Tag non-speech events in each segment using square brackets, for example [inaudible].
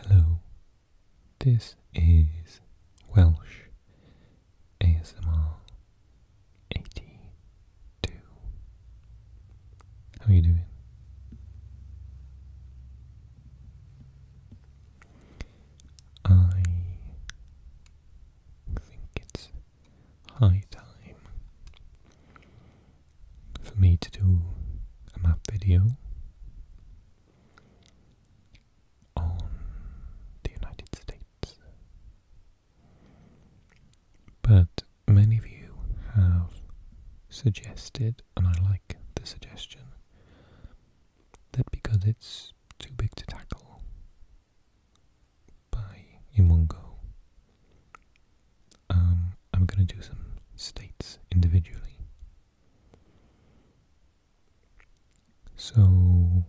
Hello, this is Welsh ASMR 82. How are you doing? I think it's high time for me to do a map video on the United States. But many of you have suggested, and I like the suggestion, that because it's too big to tackle, by in one go. Um, I'm gonna do some states individually. So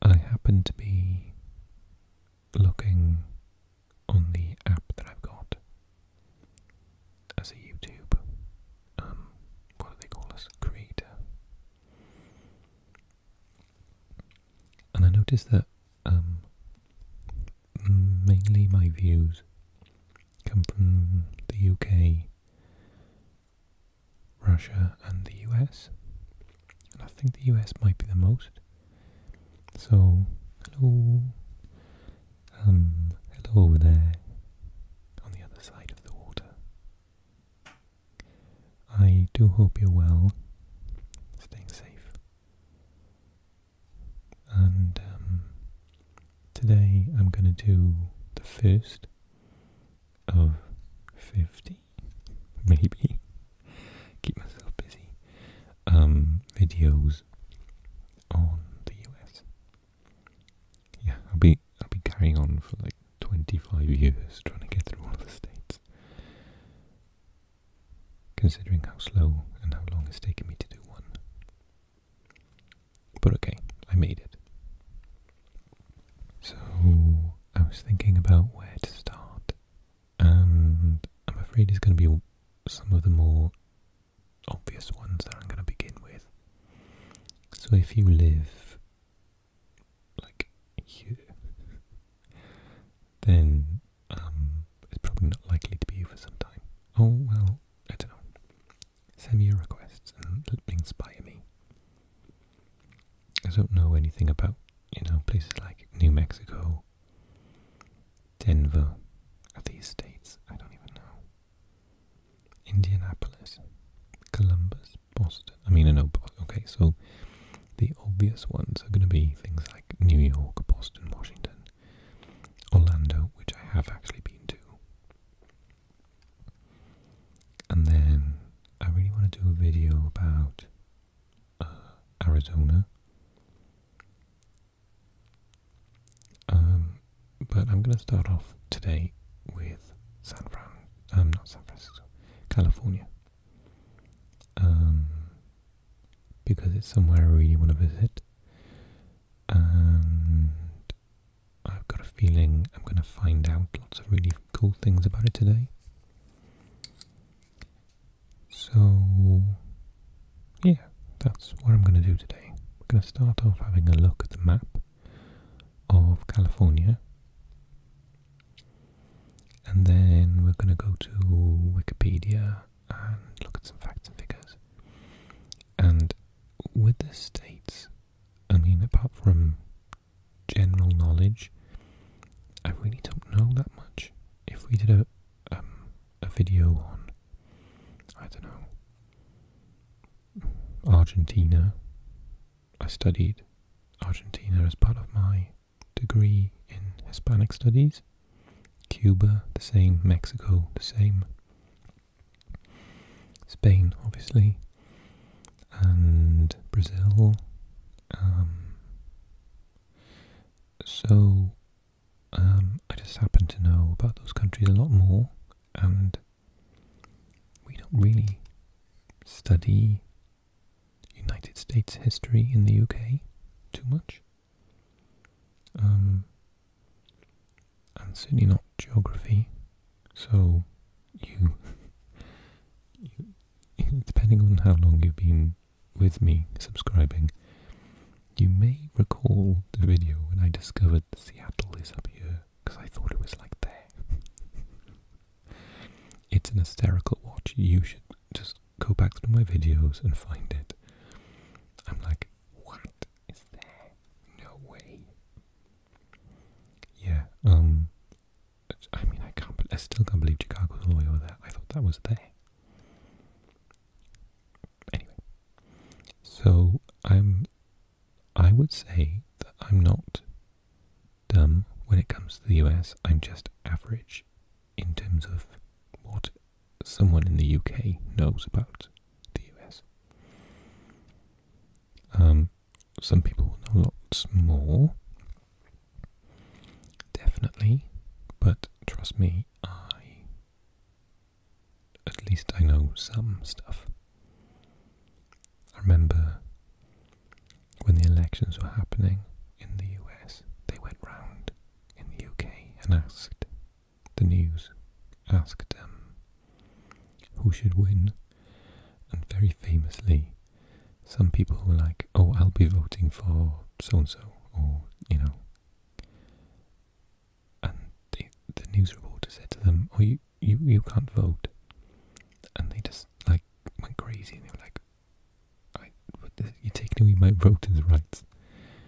I happen to be looking on the app that I've got as a YouTube. Um, what do they call us? Creator and I notice that um, mainly my views come from the UK, Russia, and the US. And I think the US might be the most. So, hello. Um, hello over there on the other side of the water. I do hope you're well, staying safe. And um, today I'm going to do the first of 50, [laughs] maybe, keep myself busy, um, videos on the US. Yeah, I'll be, I'll be carrying on for like 25 years trying to get through all of the states. Considering how slow and how long it's taken me to do one. But okay, I made it. So, I was thinking about where to start. And I'm afraid it's going to be some of the more obvious ones that I'm going to begin with. So if you live like you, then um, it's probably not likely to be for some time. Oh well, I don't know. Send me your requests and inspire me. I don't know anything about, you know, places like New Mexico, Denver, these states. I don't even know. Indianapolis, Columbus, Boston. I mean, I know, okay, so the obvious ones are going to be things like New York, Boston, Washington, Orlando, which I have actually been to. And then I really want to do a video about uh, Arizona. Um, but I'm going to start off today with San Fran. I'm um, not San Francisco, California. Um, because it's somewhere I really want to visit. And I've got a feeling I'm going to find out lots of really cool things about it today. So, yeah, that's what I'm going to do today. We're going to start off having a look at the map of California and then we're going to go to Wikipedia and look at some facts and figures. And with the states, I mean, apart from general knowledge, I really don't know that much. If we did a um, a video on, I don't know, Argentina, I studied Argentina as part of my degree in Hispanic studies, Cuba the same, Mexico the same, Spain obviously, and Brazil. Um, so um, I just happen to know about those countries a lot more, and we don't really study United States history in the UK too much. Um, and certainly not geography. So you, [laughs] you, depending on how long you've been with me subscribing, you may recall the video when I discovered Seattle is up here because I thought it was like there. [laughs] It's an hysterical watch. You should just go back through my videos and find it. I'm like, what is there? No way. Yeah, um, I mean, I can't, I still can't believe Chicago's all the way over there. I thought that was there. Anyway, so I'm, I would say that I'm not um, when it comes to the US, I'm just average in terms of what someone in the UK knows about the US. Um, some people know lots more, definitely, but trust me, I at least I know some stuff. I remember when the elections were happening in the US, they went round in the UK and asked the news, asked them um, who should win. And very famously, some people were like, oh, I'll be voting for so and so, or, you know. And the news reporter said to them, oh, you, you, you can't vote. And they just, like, went crazy and they were like, I, you're taking away my voters' rights.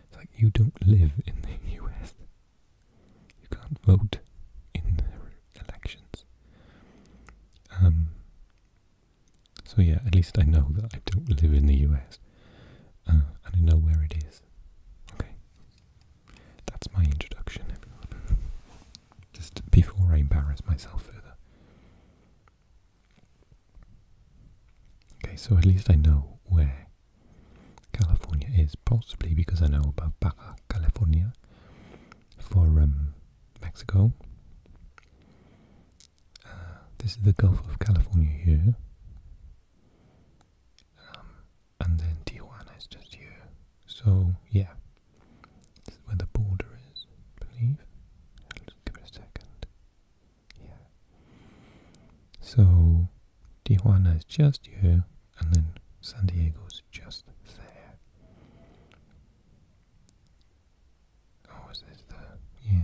It's like, you don't live in the US. [laughs] You can't vote in their elections. Um, so yeah, at least I know that I don't live in the US. Uh, and I know where it is. Okay. That's my introduction, [laughs] Just before I embarrass myself further. Okay, so at least I know where California is, possibly because I know about Baja California for um, Mexico. Uh, this is the Gulf of California here. Um, and then Tijuana is just here. So, yeah, this is where the border is, I believe. give it a second. Yeah. So Tijuana is just here, and then San Diego is just there. Oh, is this the yeah?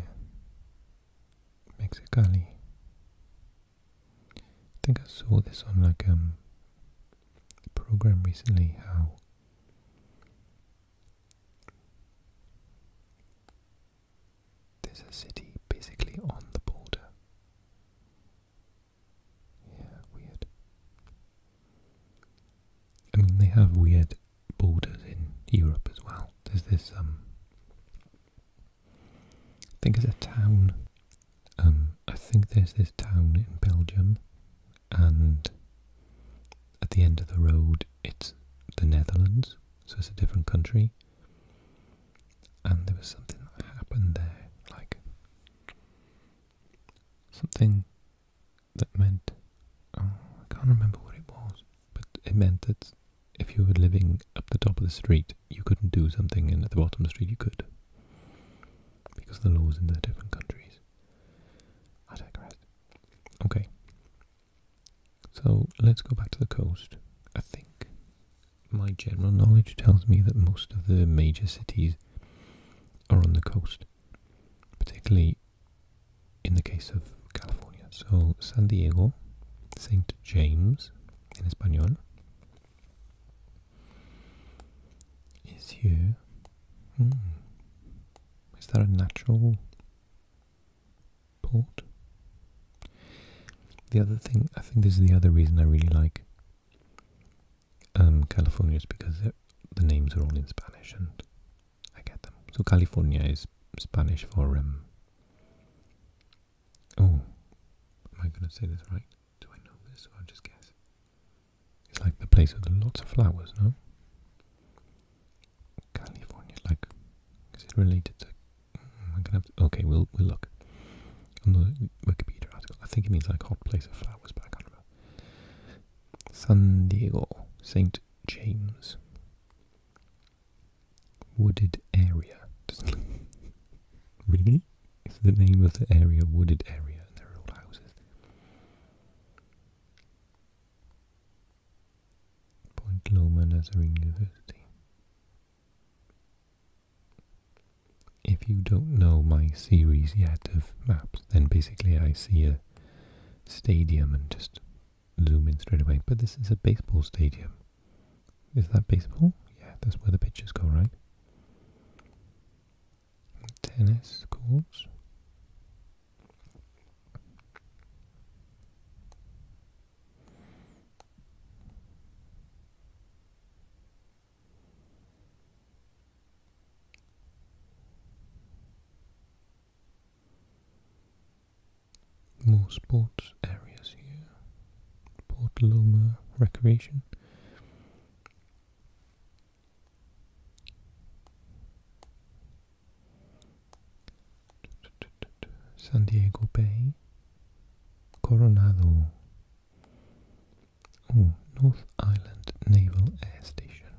Mexicali. I think I saw this on like um, a program recently how there's a city basically on the border. Yeah, weird. I mean, they have weird borders in Europe as well. There's this, um, I think it's a town, um, I think there's this town in Belgium and at the end of the road it's the Netherlands, so it's a different country. And there was something that happened there, like something that meant oh, I can't remember what it was, but it meant that if you were living up the top of the street, you couldn't do something, and at the bottom of the street you could, because the laws in the different countries. I digress. Okay. So let's go back to the coast. I think my general knowledge tells me that most of the major cities are on the coast, particularly in the case of California. So San Diego, St. James in Espanol, is here, Hmm. Is that a natural port? The other thing, I think this is the other reason I really like um, California is because the names are all in Spanish and I get them. So California is Spanish for, um, oh, am I going to say this right? Do I know this or I'll just guess? It's like the place with lots of flowers, no? California, like, is it related to? Mm, I'm gonna have to, okay, we'll we'll look on the Wikipedia article. I think it means like hot place of flowers, but I can't remember. San Diego, Saint James, wooded area. [laughs] really? It's the name of the area, wooded area, and they're old houses. Point Loma Nazarene University. If you don't know my series yet of maps, then basically I see a stadium and just zoom in straight away. But this is a baseball stadium. Is that baseball? Yeah, that's where the pitches go, right? tennis courts. More sports areas here. Port Loma Recreation. San Diego Bay, Coronado. North Island Naval Air Station.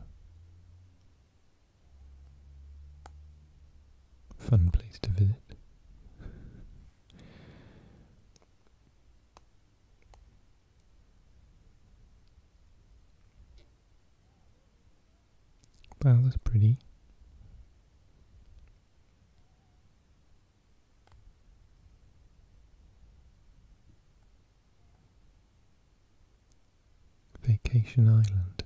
Fun place to visit. Wow, that's pretty. Vacation Island.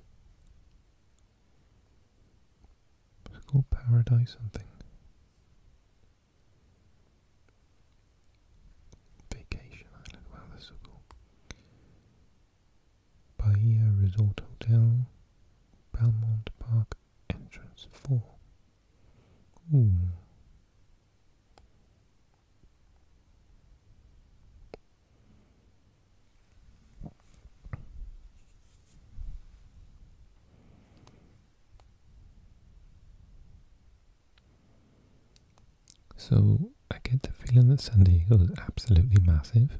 It's called Paradise something. Vacation Island, wow, that's so cool. Bahia Resort Hotel, Belmont Park, Entrance 4. Ooh. So I get the feeling that San Diego is absolutely massive.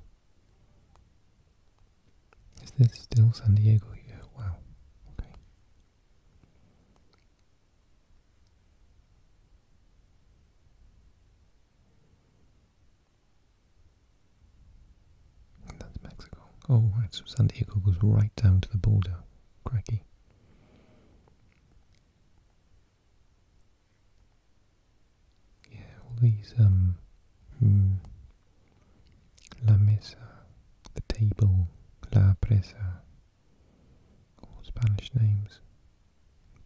Is this still San Diego here? Wow. Okay. that's Mexico. Oh, right, so San Diego goes right down to the border. Cracky. Yeah, all these um, mm, la mesa, the table, la presa, all Spanish names.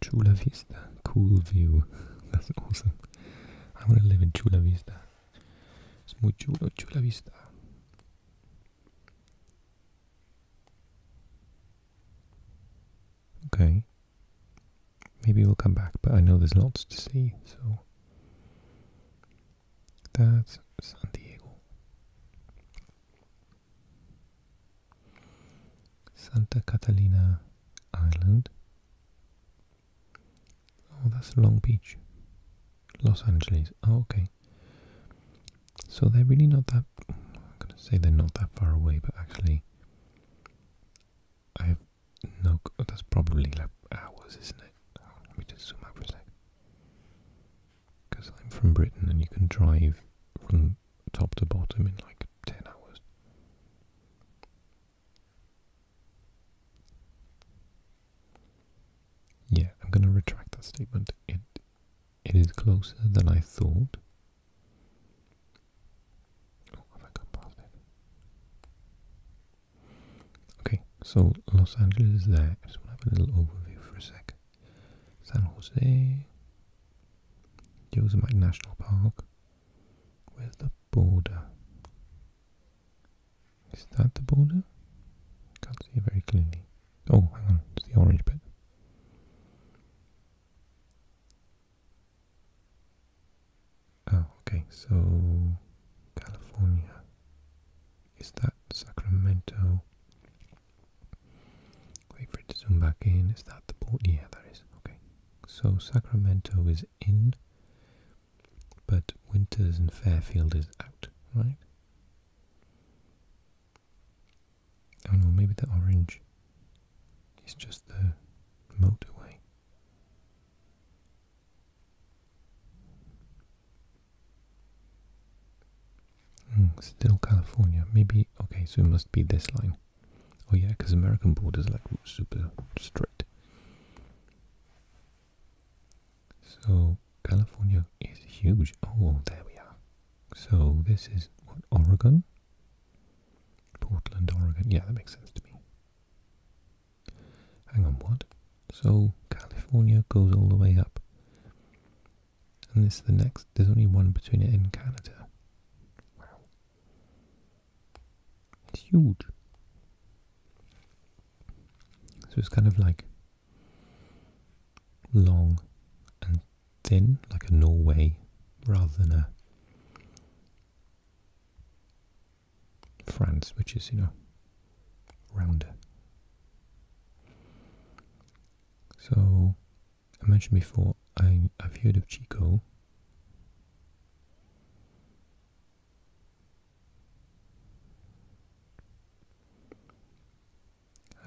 Chula Vista, cool view. [laughs] That's awesome. I want to live in Chula Vista. It's muy chulo, Chula Vista. Okay. Maybe we'll come back, but I know there's lots to see, so that's San Diego. Santa Catalina Island. Oh, that's Long Beach. Los Angeles. Oh, okay. So they're really not that, I'm going to say they're not that far away, but actually I have no, oh, that's probably like hours, isn't it? Let me just zoom out for a sec. Because I'm from Britain and you can drive from top to bottom in like 10 hours. Yeah, I'm going to retract that statement. It is closer than I thought. Oh, have I past it? Okay, so Los Angeles is there. just want to have a little overview for a second. San Jose, Yosemite National Park. Where's the border? Is that the border? Can't see it very clearly. Oh, hang on, it's the orange bit. Oh, okay, so California. Is that Sacramento? Wait for it zoom back in. Is that the port? Yeah, that is. Okay. So Sacramento is in, but Winters and Fairfield is out, right? Oh no, maybe the orange is just the motorway. Hmm, still California. Maybe, okay, so it must be this line. Oh yeah, because American borders like super straight. So California is huge. Oh, there we are. So this is what Oregon, Portland, Oregon. Yeah, that makes sense to me. Hang on, what? So California goes all the way up, and this is the next. There's only one between it and Canada. Wow, it's huge. So it's kind of like long and thin, like a Norway, rather than a France, which is, you know, rounder. So, I mentioned before, I, have heard of Chico.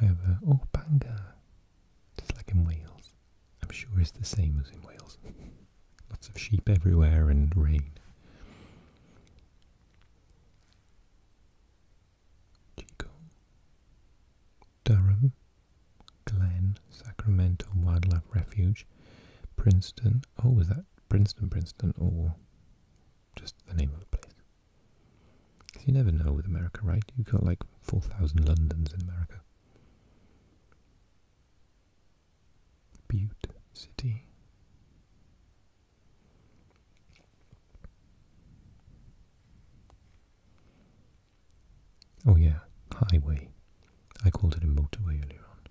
However, oh, Bangor, just like in Wales. I'm sure it's the same as in Wales. [laughs] Lots of sheep everywhere and rain. Chico, Durham, Glen, Sacramento Wildlife Refuge, Princeton. Oh, was that Princeton, Princeton, or just the name of the place? Because you never know with America, right? You've got like 4,000 Londons in America. Butte City. Oh yeah, highway. I called it a motorway earlier on.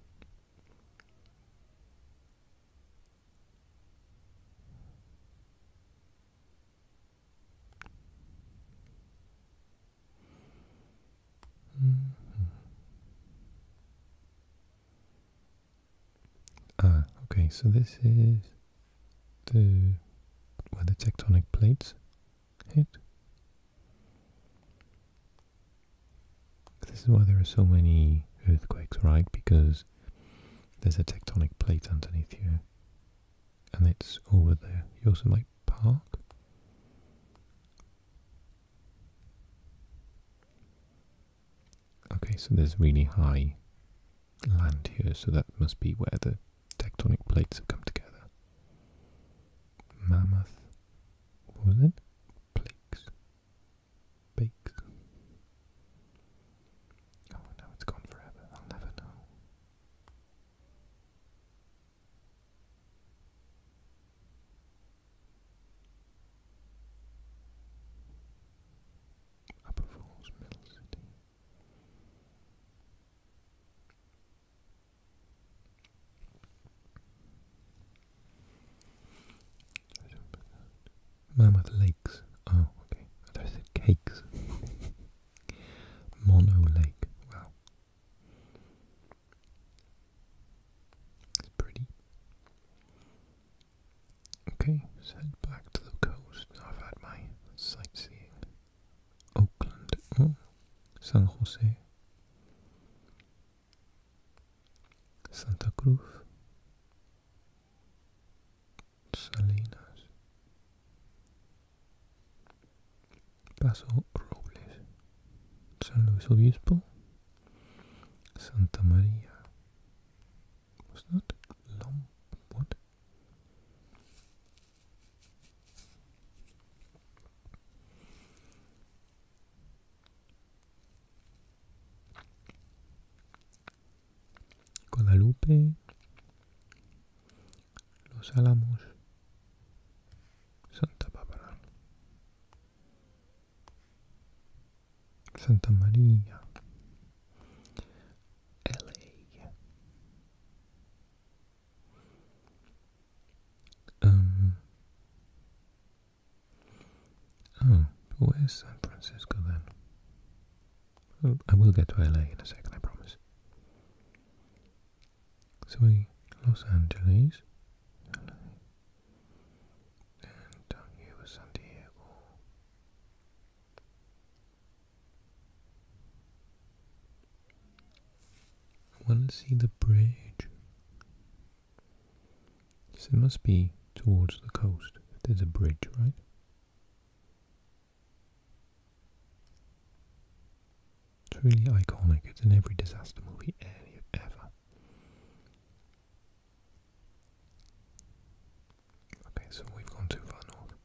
Mm-hmm. Ah, okay, so this is the where the tectonic plates hit. This is why there are so many earthquakes, right? Because there's a tectonic plate underneath here and it's over there. You also might park. Okay, so there's really high land here, so that must be where the tectonic plates have come together. Mammoth, was it? Plakes. Bakes. Oh, now it's gone forever. I'll never know. Upper Falls Middle City. Mammoth Lakes. Oh, okay. I thought I said cakes. [laughs] Mono Lake. Wow. It's pretty. Okay, let's head back to the coast. Now I've had my sightseeing. Oakland. Oh, San Jose. Santa Cruz. Salinas, Paso Robles, San Luis Obispo, Santa María. Guadalupe, Los Álamos, Santa Bárbara, Santa María, LA, um, oh, where's San Francisco then? Oh, I will get to LA in a second, I promise. So we Los Angeles, LA, and down here was San Diego. I want to see the bridge. So it must be towards the coast. There's a bridge, right? It's really iconic. It's in every disaster movie ever. Okay, so we've gone too far north.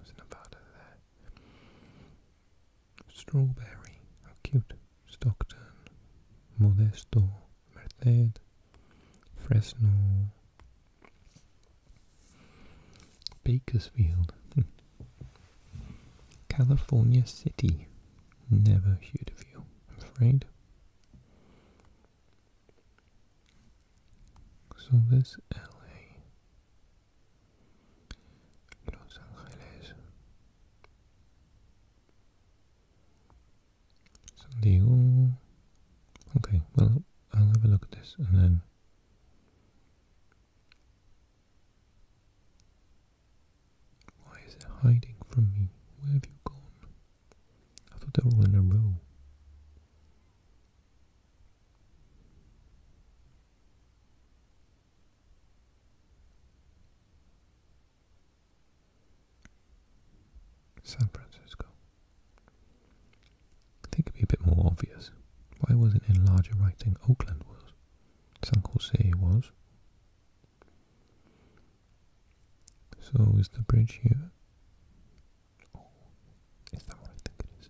was Nevada there. Strawberry, how cute. Stockton, Modesto, Merced, Fresno, Bakersfield, hmm. California City. Never heard of you, I'm afraid. So this LA, Los Angeles, Sunday, Okay, well, I'll have a look at this and then. Why is it hiding from me? Where have you gone? I thought they were all in a row. San Francisco. I think it'd be a bit more obvious. Why wasn't in larger writing Oakland was? San Jose was. So is the bridge here? Oh, is that what I think it is?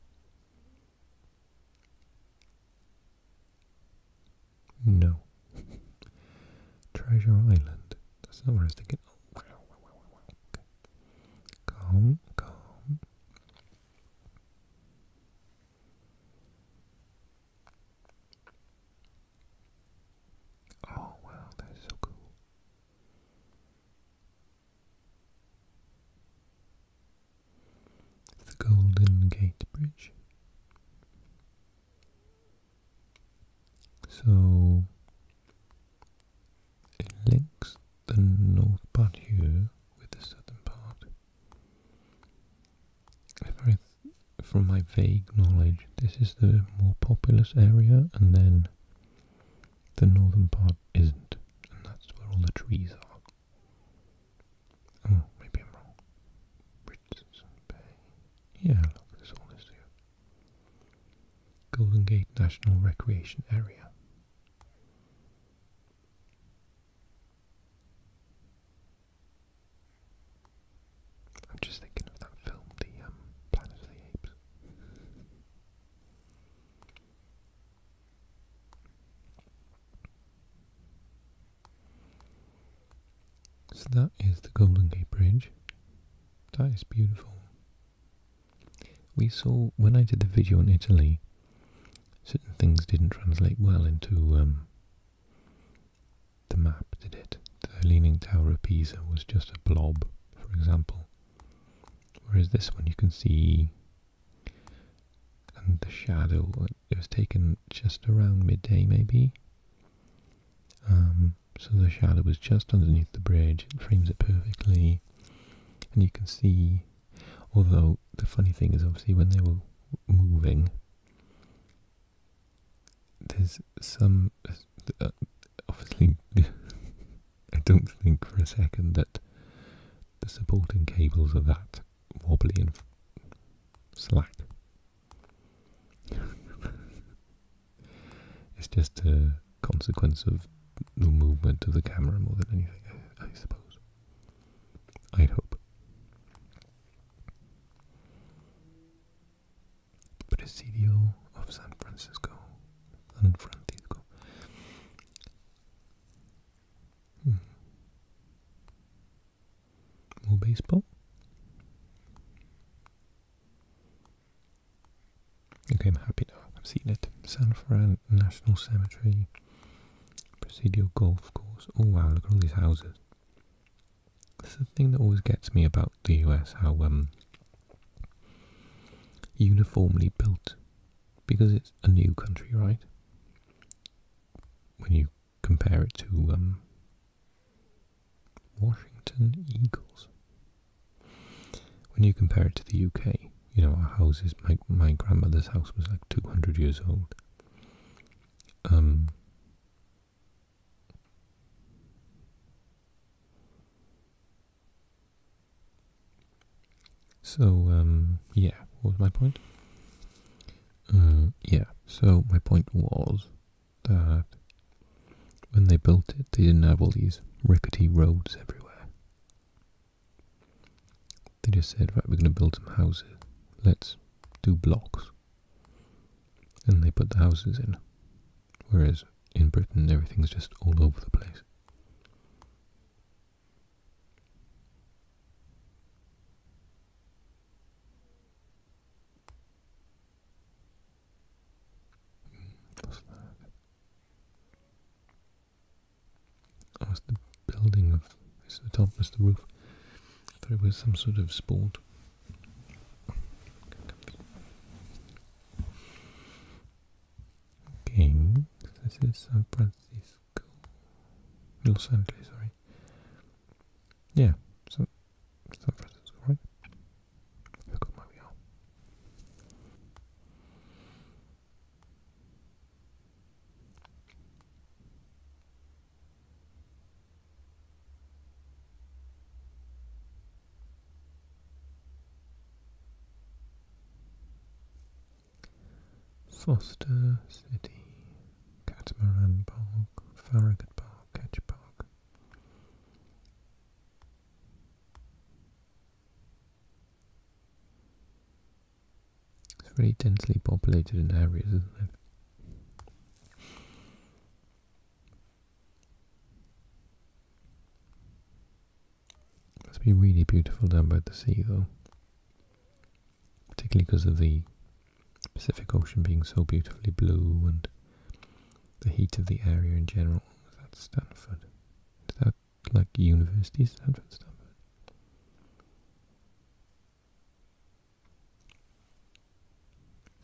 No. [laughs] Treasure Island. That's not where I was thinking. Oh, wow, Calm, calm. Oh, wow, that is so cool. It's the Golden Gate Bridge. So it links the north part here with the southern part. from my vague knowledge, this is the more populous area, and then the northern part isn't, and that's where all the trees are. Oh, maybe I'm wrong. Richardson Bay. Yeah, look, there's all this here. Golden Gate National Recreation Area. I'm just thinking of that film, the um, Planet of the Apes. So that is the Golden Gate Bridge. That is beautiful. We saw, when I did the video on Italy, certain things didn't translate well into um, the map, did it? The Leaning Tower of Pisa was just a blob, for example. Whereas this one you can see, and the shadow, it was taken just around midday maybe, um, so the shadow was just underneath the bridge. It frames it perfectly. And you can see, although the funny thing is obviously when they were moving, there's some, uh, obviously, [laughs] I don't think for a second that the supporting cables are that wobbly and slack. [laughs] it's just a consequence of the movement of the camera more than anything, I, suppose. I'd hope. Presidio of San Francisco. San Francisco. Hmm. More baseball. Okay, I'm happy now. I've seen it. San Fran National Cemetery. Presidio Golf Course. Oh wow, look at all these houses. This is the thing that always gets me about the US, how um, uniformly built. Because it's a new country, right? When you compare it to um, Washington Eagles. When you compare it to the UK, you know, our houses, my, grandmother's house was like 200 years old. Um, so, um, yeah, what was my point? Uh, yeah, so my point was when they built it, they didn't have all these rickety roads everywhere. They just said, right, we're going to build some houses. Let's do blocks. And they put the houses in. Whereas in Britain, everything's just all over the place was the building of, it's the top, it's the roof. I thought it was some sort of sport. Okay, this is San Francisco, Los Angeles, sorry. Yeah, so San Francisco, right? where we are. Foster City, Catamaran Park, Farragut Park, Ketch Park, it's really densely populated in areas, isn't it? Must be really beautiful down by the sea, though. Particularly because of the Pacific Ocean being so beautifully blue and the heat of the area in general. Was that Stanford? Is that like University Stanford? Stanford?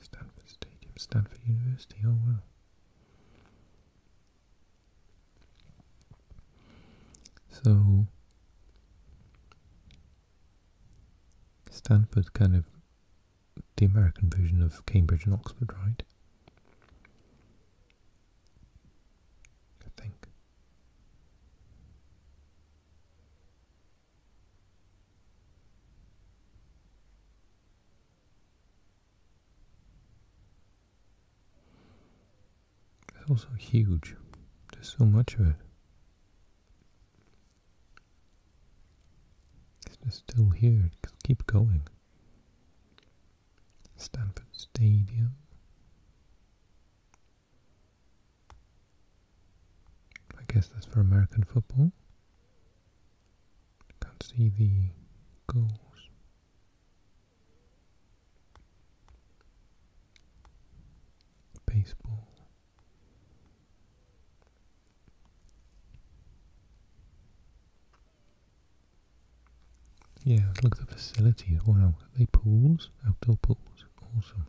Stanford Stadium, Stanford University, oh well. So, Stanford kind of the American version of Cambridge and Oxford, right? I think. It's also huge. There's so much of it. It's just still here. keep going. Stanford Stadium. I guess that's for American football. Can't see the goals. Baseball. Yeah, look at the facilities. Wow, are they pools? Outdoor pools. Awesome.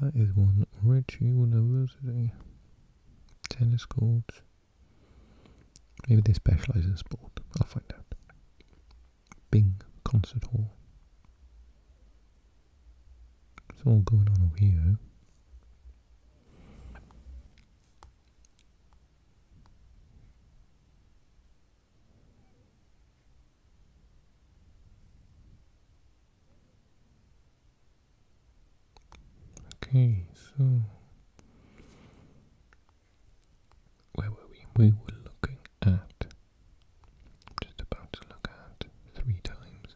That is one rich university. Tennis courts. Maybe they specialise in sport. I'll find out. Bing Concert Hall. It's all going on over here. Okay, so where were we? We were looking at just about to look at three times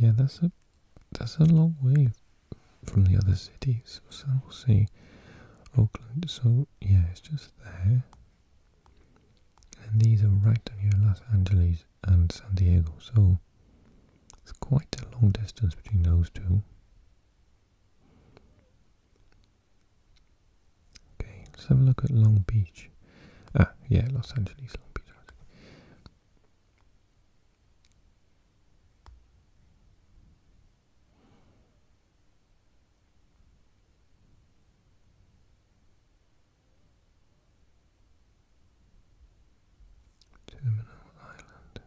yeah, that's a that's a long way from the other cities. So we'll see. Auckland. So yeah, it's just there. And these are right near Los Angeles and San Diego. So it's quite a long distance between those two. Okay, let's have a look at Long Beach. Ah, yeah, Los Angeles, Long Beach. Terminal Island.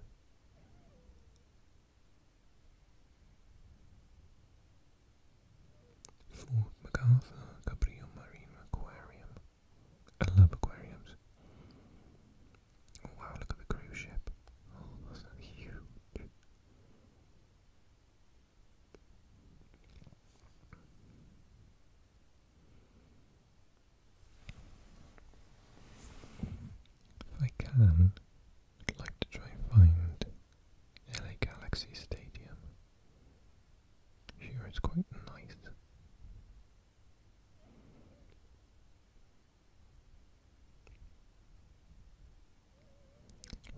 Fort MacArthur Cabrillo Marine Aquarium. I love aquariums. wow, look at the cruise ship. Oh, huge. If I can, I'd like to try and find LA Galaxy Stadium. Sure, it's quite nice.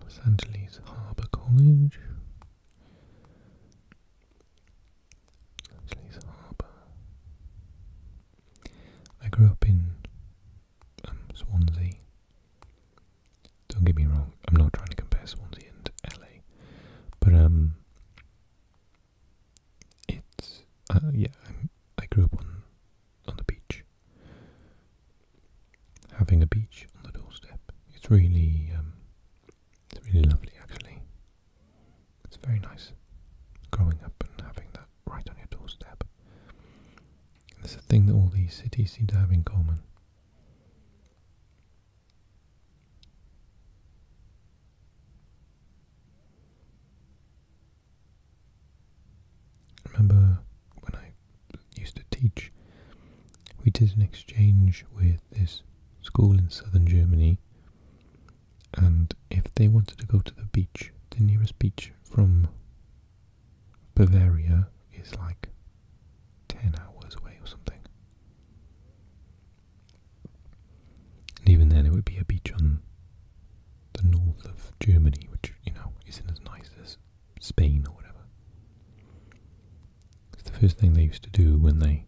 Los Angeles Harbor College. Leslie's Harbour. I grew up in um, Swansea. Don't get me wrong, I'm not trying to compare Swansea and LA, but um, it's uh, yeah. i I grew up on on the beach. Having a beach on the doorstep, it's really um, it's really lovely, actually. It's very nice growing up and having that right on your doorstep. It's a thing that all these cities seem to have in common. remember when I used to teach, we did an exchange with this school in southern Germany and if they wanted to go to the beach, the nearest beach from Bavaria is like 10 hours away or something. And even then, it would be a beach on the north of Germany, which, you know, isn't as nice as Spain or whatever. It's the first thing they used to do when they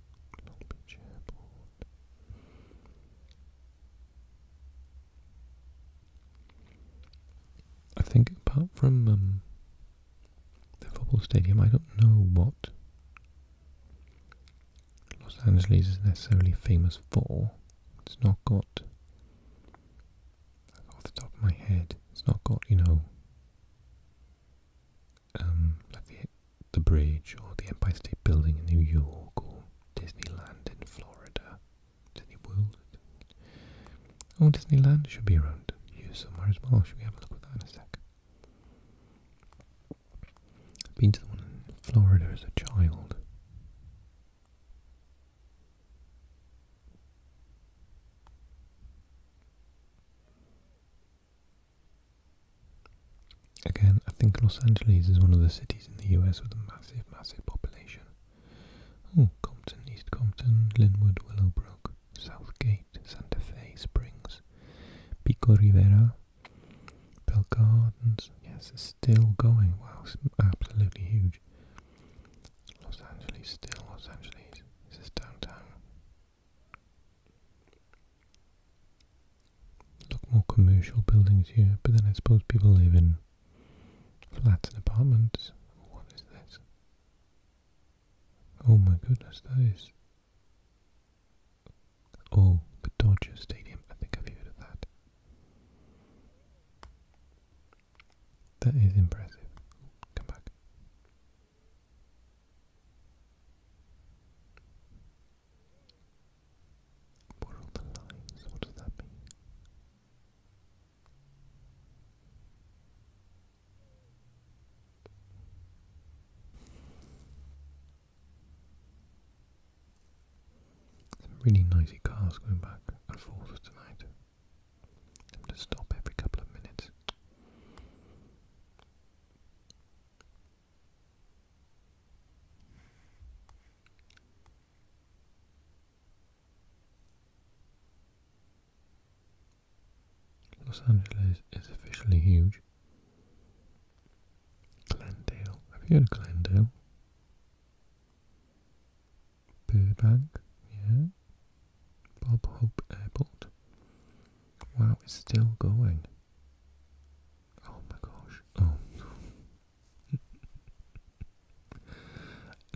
I think apart from um, the football stadium, I don't know what Los Angeles is necessarily famous for. It's not got, off the top of my head, it's not got, you know, um, like the the bridge or the Empire State Building in New York or Disneyland in Florida, Disney World. Oh, Disneyland should be around here somewhere as well. Should we have a look at that in a sec? I've been to the one in Florida as a child. Again, I think Los Angeles is one of the cities in the US with a massive, massive population. Oh, Compton, East Compton, Linwood, Willowbrook, Southgate, Santa Fe Springs, Pico Rivera, Bell Gardens. Yes, it's still going. Wow, it's absolutely huge. Los Angeles, still Los Angeles. This is downtown Look more commercial buildings here, but then I suppose people live in flats and apartments. What is this? Oh my goodness, that is. Oh, the Dodger Stadium. I think I've heard of that. That is impressive. Come back. What are the lines? What does that mean? Some really noisy cars going back and forth tonight. i to stop every couple of minutes. Los Angeles is officially huge. Glendale. Have you heard of Glendale? Burbank, yeah. Bob Hope Airport. Wow, it's still going. Oh my gosh. Oh.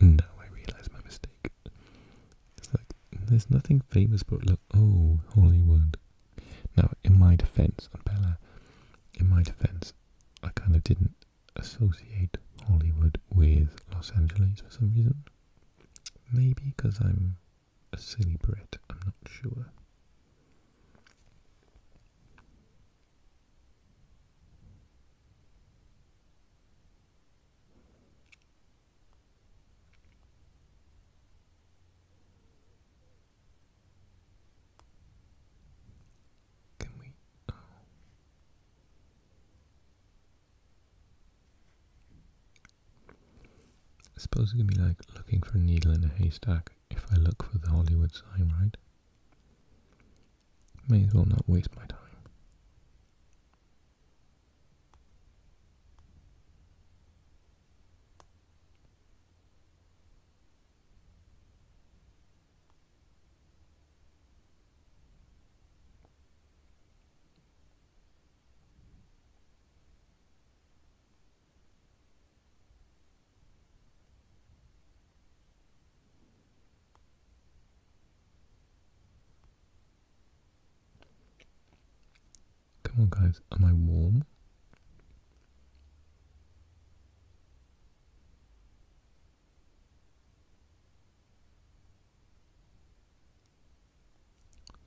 [laughs] now I realise my mistake. It's like, there's nothing famous but look, oh, Hollywood. Now, in my defence, on Bella, in my defence, I kind of didn't associate Hollywood with Los Angeles for some reason. Maybe because I'm a silly Brit, I'm not sure. Can we? Oh. I suppose it could be like looking for a needle in a haystack if I look for the Hollywood sign, right? May as well not waste my time. Come on, guys, am I warm?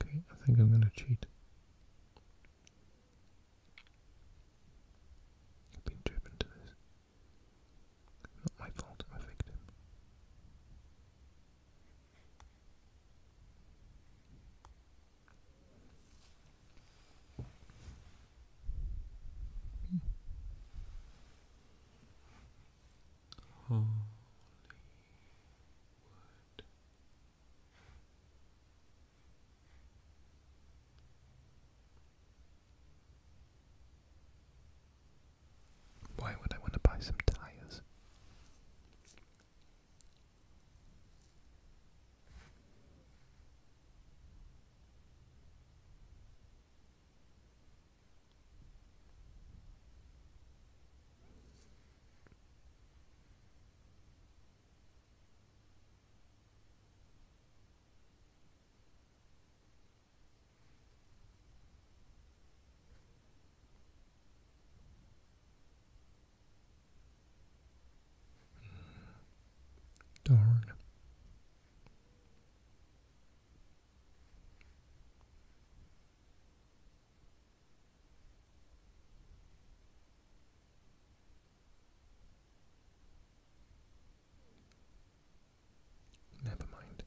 Okay, I think I'm going to cheat. I've been driven to this. Not my fault, i victim. Holy word. Why would I want to buy some tires? Darn. Never mind.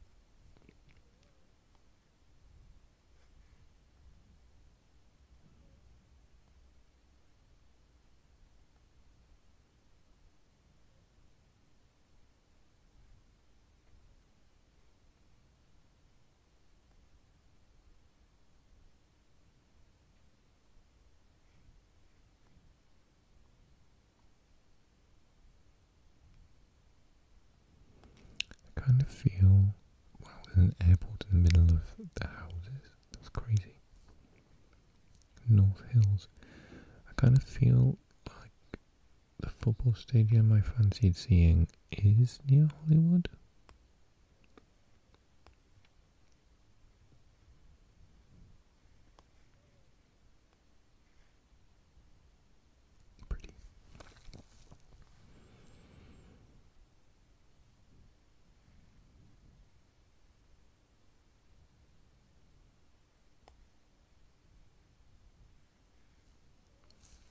I kind of feel, wow, there's an airport in the middle of the houses. That's crazy. North Hills. I kind of feel like the football stadium I fancied seeing is near Hollywood. Pretty.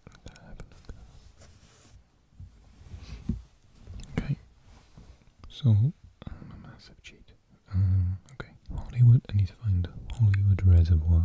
I'm gonna have a look Okay, so I'm oh, a massive cheat. Um, okay, Hollywood. I need to find Hollywood Reservoir.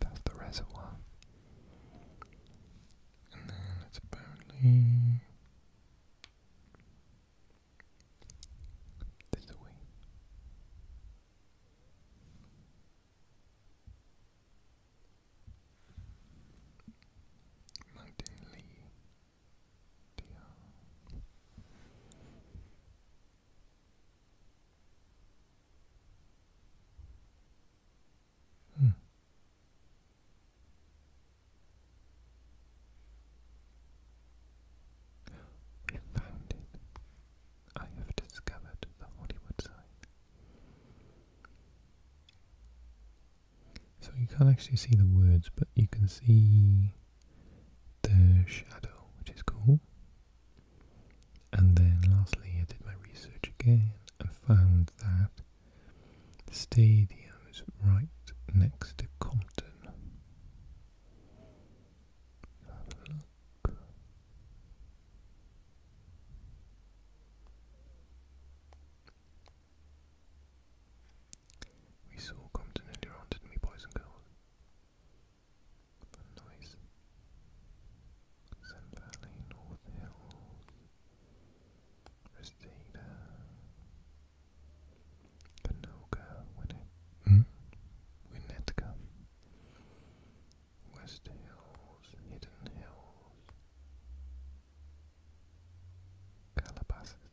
that's the reservoir. And then it's apparently this way. Mountain Dear. Hmm. We found it. I have discovered the Hollywood sign. So you can't actually see the words, but you can see the shadow, which is cool. And then lastly, I did my research again and found that the stadium's right next to Compton. look. We saw Compton earlier on, didn't boys and girls? the noise Sun Valley, North Winnet hmm? Winnetka, West Hills, Hidden Hills, Calabasas,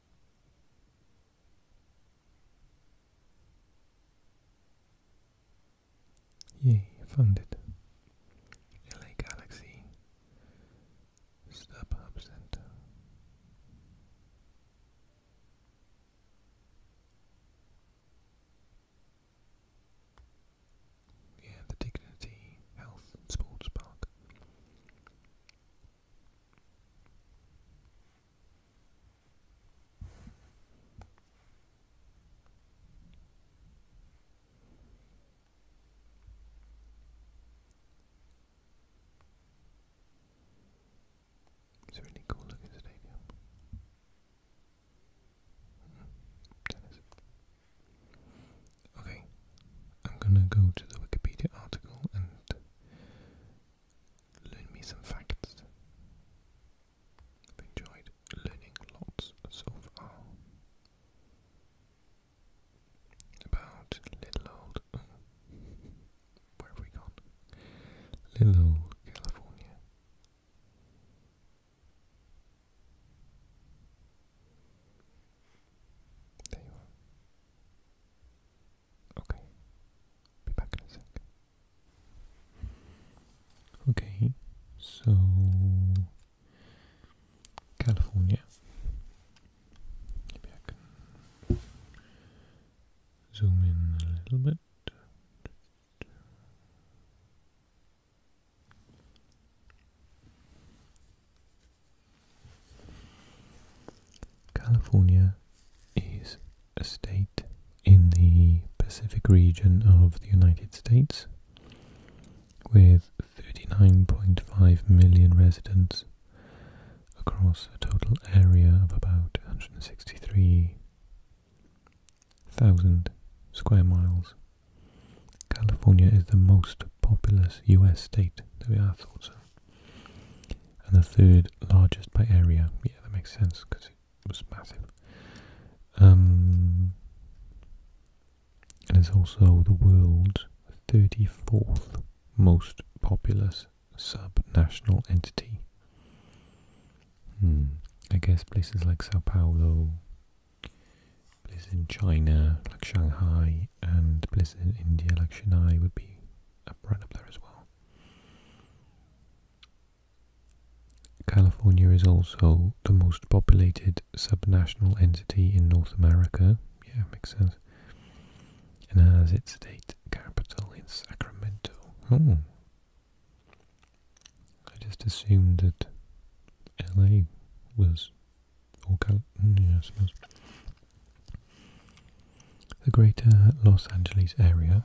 Yay, found it. LA Galaxy StubHub Center. Yeah, the Dignity Health Sports Park. It's a really cool looking stadium. Mm -hmm. Tennis. Okay, I'm gonna go to the Wikipedia article and learn me some facts. I've enjoyed learning lots so far about little where have we gone? Little California. There you are. Okay. Be back in a sec. Okay, so California. Maybe I can zoom in a little bit. California is a state in the Pacific region of the United States with 39.5 million residents across a total area of about 163,000 square miles. California is the most populous US state. There we are, thought so and the third largest by area. Yeah, that makes sense because it was massive. Um, and it's also the world's 34th most populous sub-national entity. Hmm, I guess places like Sao Paulo, places in China, like Shanghai, and Blizzard in the election, I would be up right up there as well. California is also the most populated subnational entity in North America. Yeah, makes sense. And has its state capital in Sacramento. Oh. I just assumed that LA was Mm, the greater Los Angeles area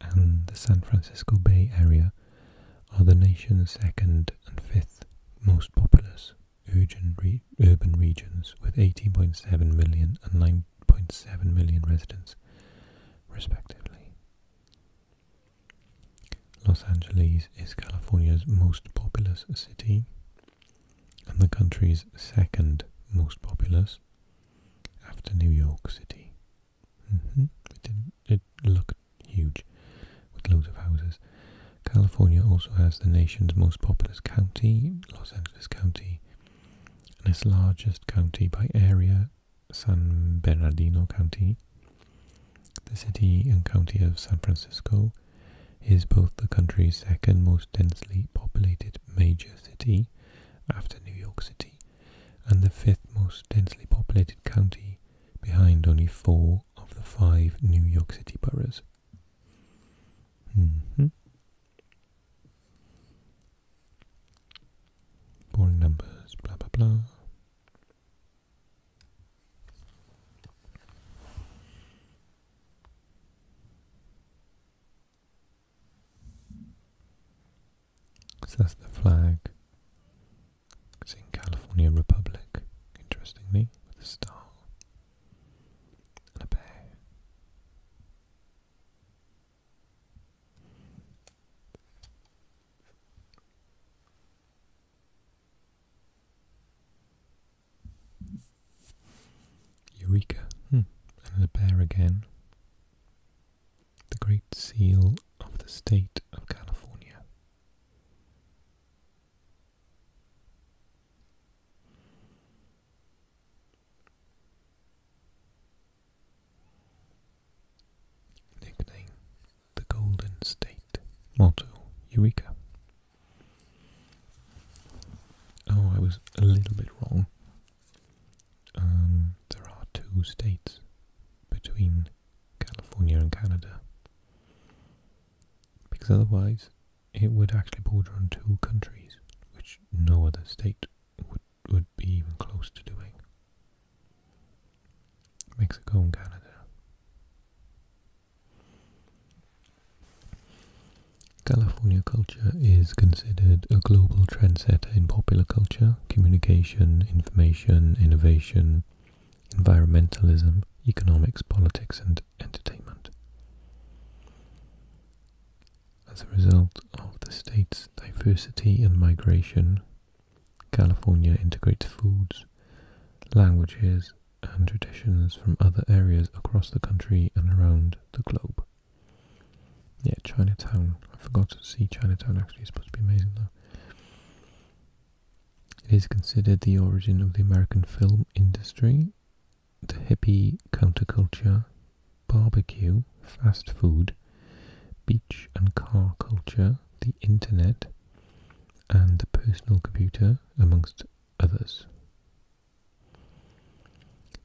and the San Francisco Bay Area are the nation's second and fifth most populous urban, urban regions with 18.7 million and 9.7 million residents, respectively. Los Angeles is California's most populous city and the country's second most populous after New York City. Mm-hmm. it looked huge with loads of houses. California also has the nation's most populous county, Los Angeles County, and its largest county by area, San Bernardino County. The city and county of San Francisco is both the country's second most densely populated major city, after New York City, and the fifth most densely populated county, behind only four of the five New York City boroughs. Boring mm-hmm. numbers, blah blah blah. So that's the flag. It's in California Republic, interestingly, with a star and a bear. Eureka! Hmm. And the bear again. The Great Seal of the State of California. Nickname The Golden State. Motto Eureka. Oh, I was a little bit wrong. Um, there are two states between California and Canada. Because otherwise, it would actually border on two countries, which no other state would, would be even close to doing. Mexico and Canada. California culture is considered a global trendsetter in popular culture, communication, information, innovation, environmentalism, economics, politics, and entertainment. As a result of the state's diversity and migration, California integrates foods, languages, and traditions from other areas across the country and around the globe. Yeah, Chinatown. I forgot to see Chinatown actually. It's supposed to be amazing though. It is considered the origin of the American film industry, the hippie counterculture, barbecue, fast food, beach and car culture, the internet, and the personal computer, amongst others.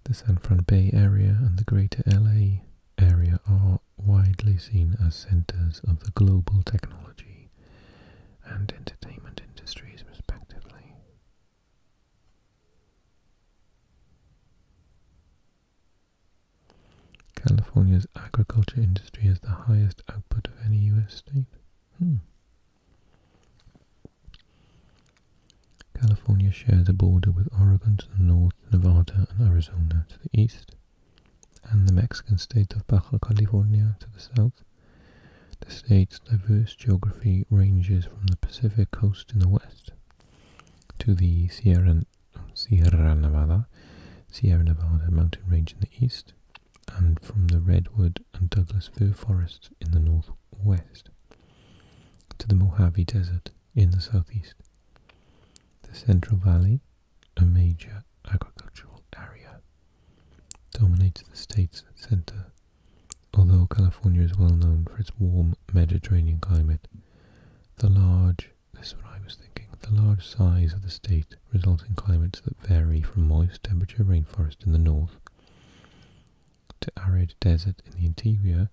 The San Francisco Bay area and the greater LA area are widely seen as centers of the global technology and entertainment industries, respectively. California's agriculture industry has the highest output of any U.S. state. Hmm. California shares a border with Oregon to the north, Nevada and Arizona to the east, and the Mexican state of Baja California to the south. The state's diverse geography ranges from the Pacific coast in the west to the Sierra, Nevada, Sierra Nevada mountain range in the east, and from the redwood and Douglas fir forests in the northwest to the Mojave Desert in the southeast. The Central Valley, a major agricultural area, dominates the state's center, although California is well known for its warm Mediterranean climate. The large, this is what I was thinking, the large size of the state results in climates that vary from moist temperature rainforest in the north to arid desert in the interior,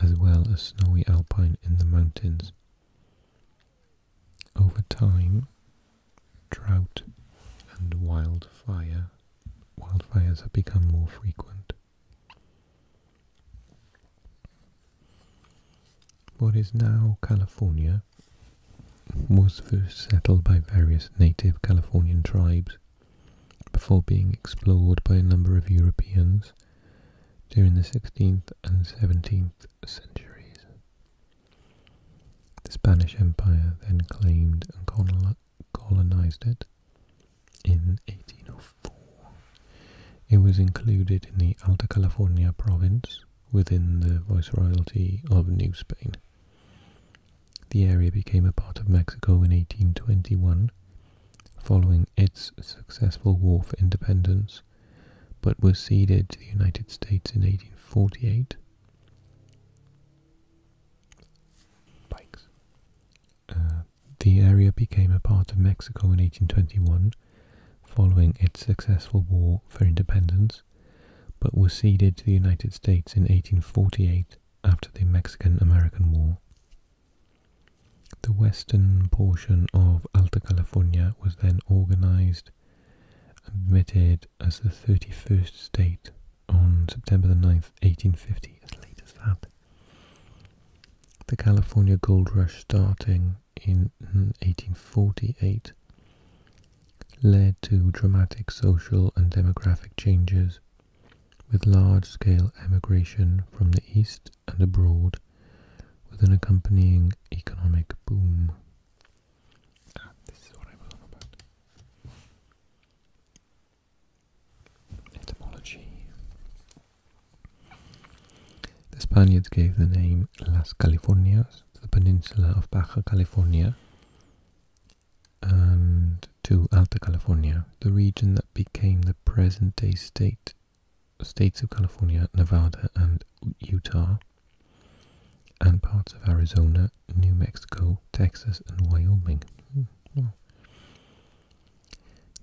as well as snowy alpine in the mountains. Over time, drought and wildfire wildfires have become more frequent. What is now California was first settled by various native Californian tribes before being explored by a number of Europeans during the 16th and 17th centuries. The Spanish Empire then claimed and colonized it in 1804. It was included in the Alta California province within the Viceroyalty of New Spain. The area became a part of Mexico in 1821 following its successful war for independence, but was ceded to the United States in 1848. Uh, the area became a part of Mexico in 1821 following its successful war for independence, but was ceded to the United States in 1848 after the Mexican-American War. The western portion of Alta California was then organized and admitted as the 31st state on September 9, 1850, as late as that. The California Gold Rush starting in 1848 led to dramatic social and demographic changes, with large-scale emigration from the east and abroad, with an accompanying economic boom. Ah, this is what I was about. Etymology. The Spaniards gave the name Las Californias to the peninsula of Baja California and to Alta California, the region that became the present-day state, states of California, Nevada, and Utah, and parts of Arizona, New Mexico, Texas, and Wyoming. Hmm,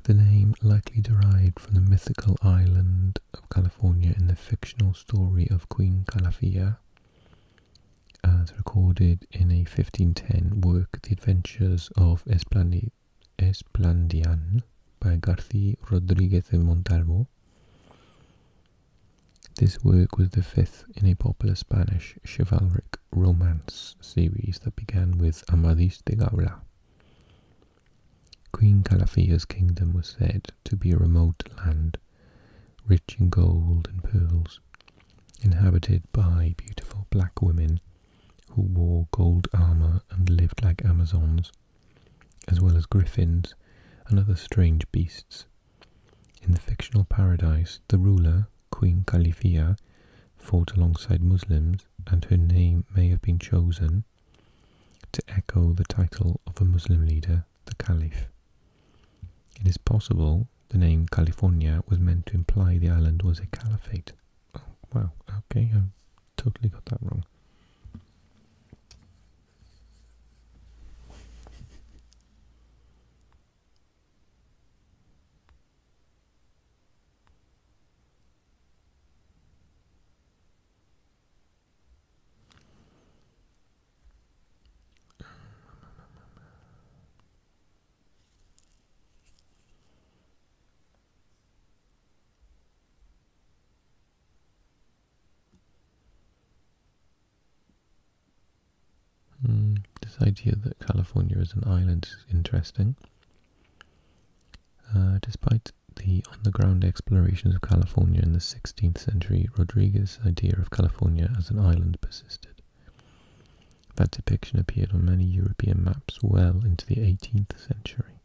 the name likely derived from the mythical island of California in the fictional story of Queen Calafia, uh, as recorded in a 1510 work, The Adventures of Esplandian, by Garci Rodriguez de Montalvo. This work was the fifth in a popular Spanish chivalric romance series that began with Amadis de Gaula. Queen Calafia's kingdom was said to be a remote land rich in gold and pearls, inhabited by beautiful black women who wore gold armor and lived like Amazons, as well as griffins and other strange beasts. In the fictional paradise, the ruler, Queen Califia, fought alongside Muslims, and her name may have been chosen to echo the title of a Muslim leader the Caliph. It is possible the name California was meant to imply the island was a caliphate. Oh, wow, okay, I totally got that wrong. Mm, this idea that California is an island is interesting. Uh, despite the on-the-ground explorations of California in the 16th century, Rodriguez's idea of California as an island persisted. That depiction appeared on many European maps well into the 18th century.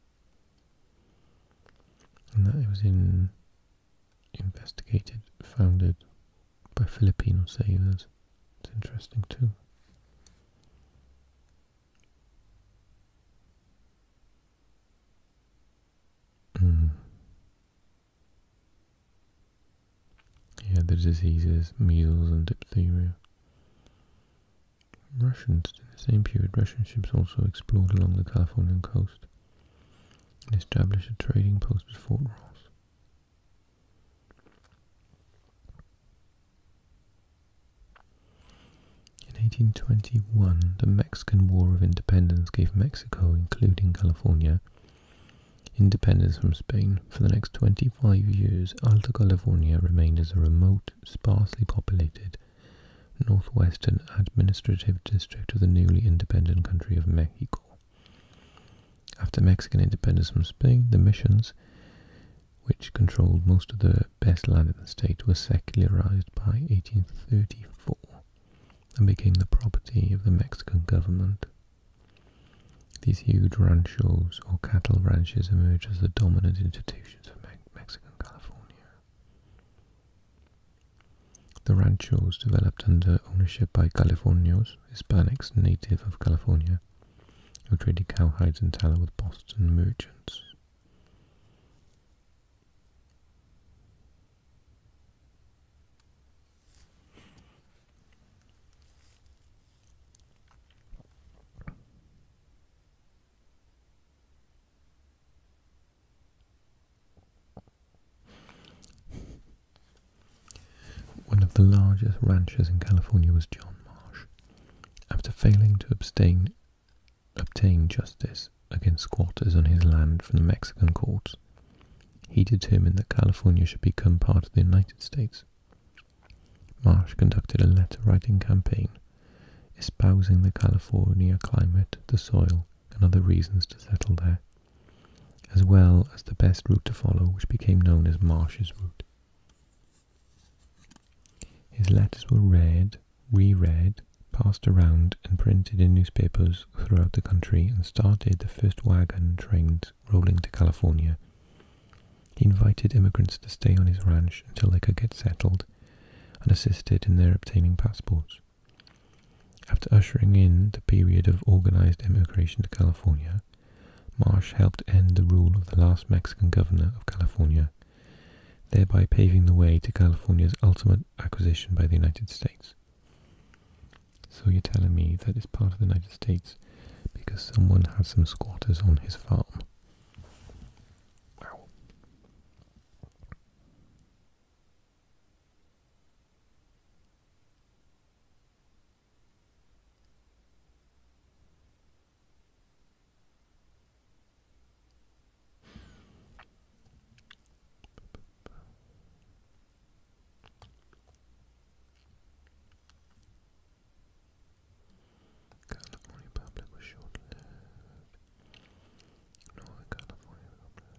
And that it was in investigated, founded by Filipino sailors. It's interesting too. Hmm. He had the diseases measles and diphtheria. Russians, in the same period, Russian ships also explored along the Californian coast and established a trading post at Fort Ross. In 1821, the Mexican War of Independence gave Mexico, including California, Independence from Spain. For the next 25 years, Alta California remained as a remote, sparsely populated, northwestern administrative district of the newly independent country of Mexico. After Mexican independence from Spain, the missions, which controlled most of the best land in the state, were secularized by 1834 and became the property of the Mexican government. These huge ranchos or cattle ranches emerged as the dominant institutions of Mexican California. The ranchos developed under ownership by Californios, Hispanics native of California, who traded cowhides and tallow with Boston merchants. One of the largest ranchers in California was John Marsh. After failing to obtain justice against squatters on his land from the Mexican courts, he determined that California should become part of the United States. Marsh conducted a letter-writing campaign espousing the California climate, the soil, and other reasons to settle there, as well as the best route to follow, which became known as Marsh's route. His letters were read, reread, passed around, and printed in newspapers throughout the country and started the first wagon trains rolling to California. He invited immigrants to stay on his ranch until they could get settled and assisted in their obtaining passports. After ushering in the period of organized emigration to California, Marsh helped end the rule of the last Mexican governor of California, thereby paving the way to California's ultimate acquisition by the United States. So you're telling me that it's part of the United States because someone had some squatters on his farm. California Republic was short lived. Northern California Republic.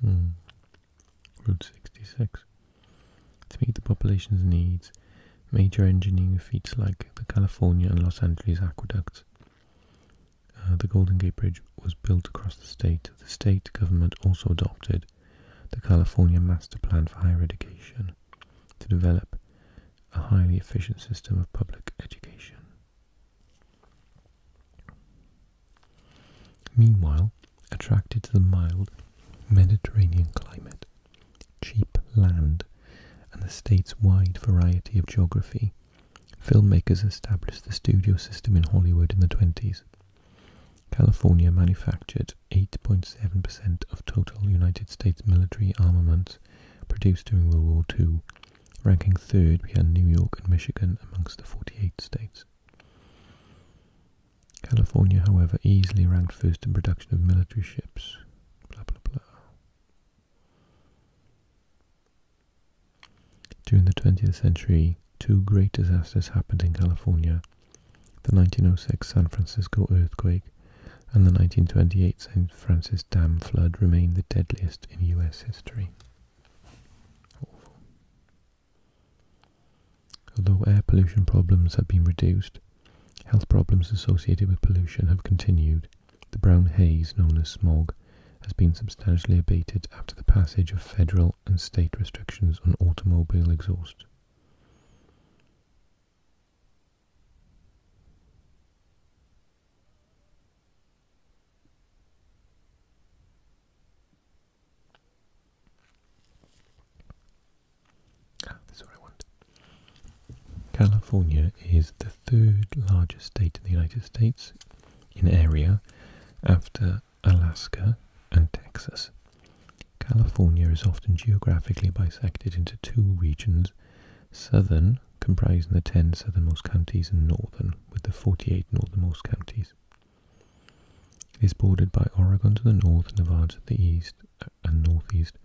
Hmm. Route 66. To meet the population's needs, major engineering feats like the California and Los Angeles aqueducts. Uh, the Golden Gate Bridge was built across the state. The state government also adopted the California Master Plan for Higher Education to develop a highly efficient system of public education. Meanwhile, attracted to the mild Mediterranean climate, cheap land, and the state's wide variety of geography, filmmakers established the studio system in Hollywood in the 20s. California manufactured 8.7% of total United States military armaments produced during World War II, ranking third behind New York and Michigan amongst the 48 states. California, however, easily ranked first in production of military ships. During the 20th century, two great disasters happened in California, the 1906 San Francisco earthquake and the 1928 San Francisco Dam flood remain the deadliest in U.S. history. Although air pollution problems have been reduced, health problems associated with pollution have continued. The brown haze known as smog has been substantially abated after the passage of federal and state restrictions on automobile exhaust. Ah, California is the third largest state in the United States in area after Alaska, and Texas. California is often geographically bisected into two regions, southern, comprising the 10 southernmost counties, and northern, with the 48 northernmost counties. It is bordered by Oregon to the north, Nevada to the east and northeast,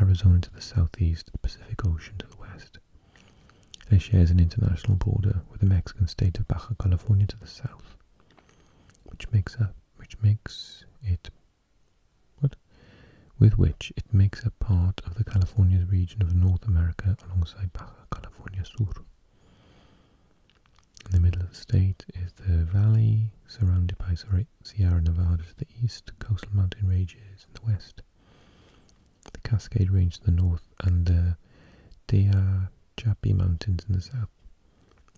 Arizona to the southeast, the Pacific Ocean to the west. It shares an international border with the Mexican state of Baja California to the south which makes up which makes it what with which it makes a part of the California region of North America alongside Baja California Sur. In the middle of the state is the valley surrounded by Sierra Nevada to the east, coastal mountain ranges in the west, the Cascade Range to the north, and the Tehachapi Mountains in the south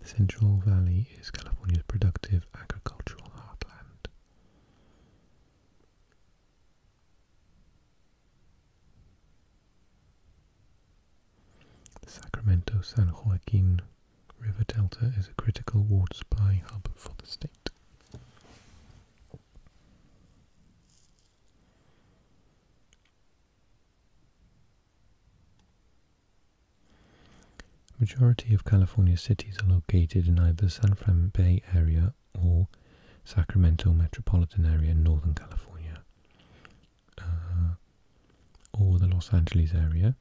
the Central Valley is California's productive agricultural heartland. The Sacramento San Joaquin River Delta is a critical water supply hub for the state. Majority of California cities are located in either San Fran Bay Area or Sacramento metropolitan area in Northern California, uh, or the Los Angeles area,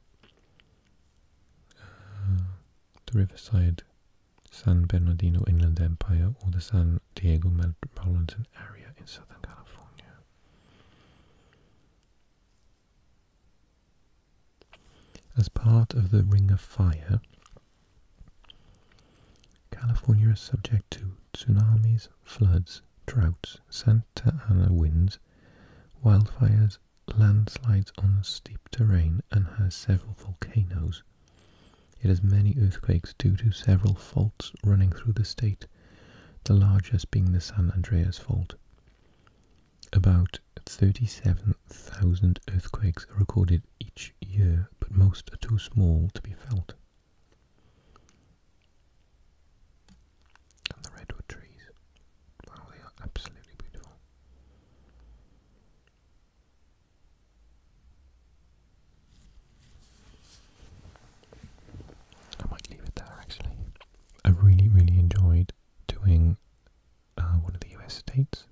uh, the Riverside, San Bernardino Inland Empire, or the San Diego metropolitan area in Southern California. As part of the Ring of Fire, California is subject to tsunamis, floods, droughts, Santa Ana winds, wildfires, landslides on steep terrain, and has several volcanoes. It has many earthquakes due to several faults running through the state the largest being the San Andreas Fault. About 37,000 earthquakes are recorded each year, but most are too small to be felt. And the redwood trees. Wow, they are absolutely beautiful. I might leave it there actually. I really, really enjoyed doing uh, one of the US states.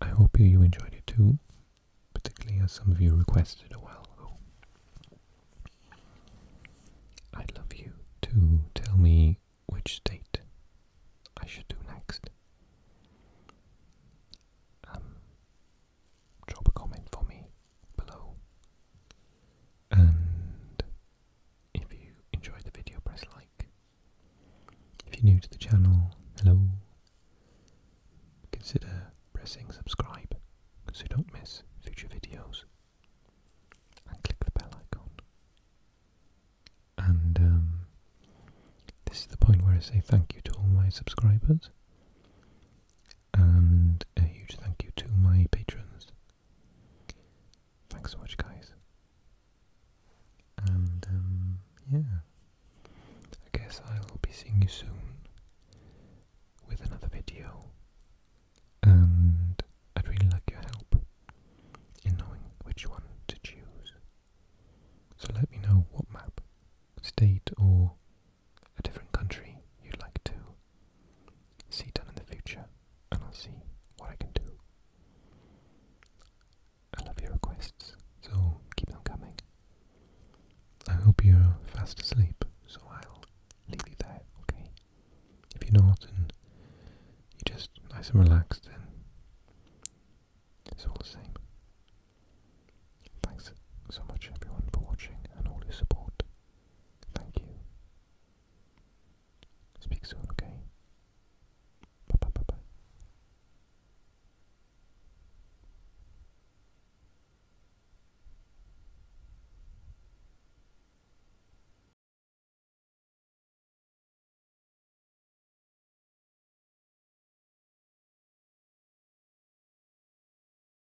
I hope you enjoyed it too, particularly as some of you requested a while ago. I'd love you to tell me which state I should do next. Um, drop a comment for me below. And if you enjoyed the video, press like. If you're new to the channel, hello. Consider pressing subscribe so you don't miss future videos. And click the bell icon. And um, this is the point where I say thank you to all my subscribers and a huge thank you to my patrons. Thanks so much, guys. And um, yeah, I guess I'll be seeing you soon with another video. And I'd really like your help in knowing which one to choose. So let me know what map, state, or a different country you'd like to see done in the future, and I'll see what I can do. I love your requests, so keep them coming. I hope you're fast asleep, so I'll leave you there, okay? If you're not and you're just nice and relaxed, then it's all the same. Thanks so much, everyone, for watching and all your support. Thank you. Speak soon, okay? Bye bye bye bye.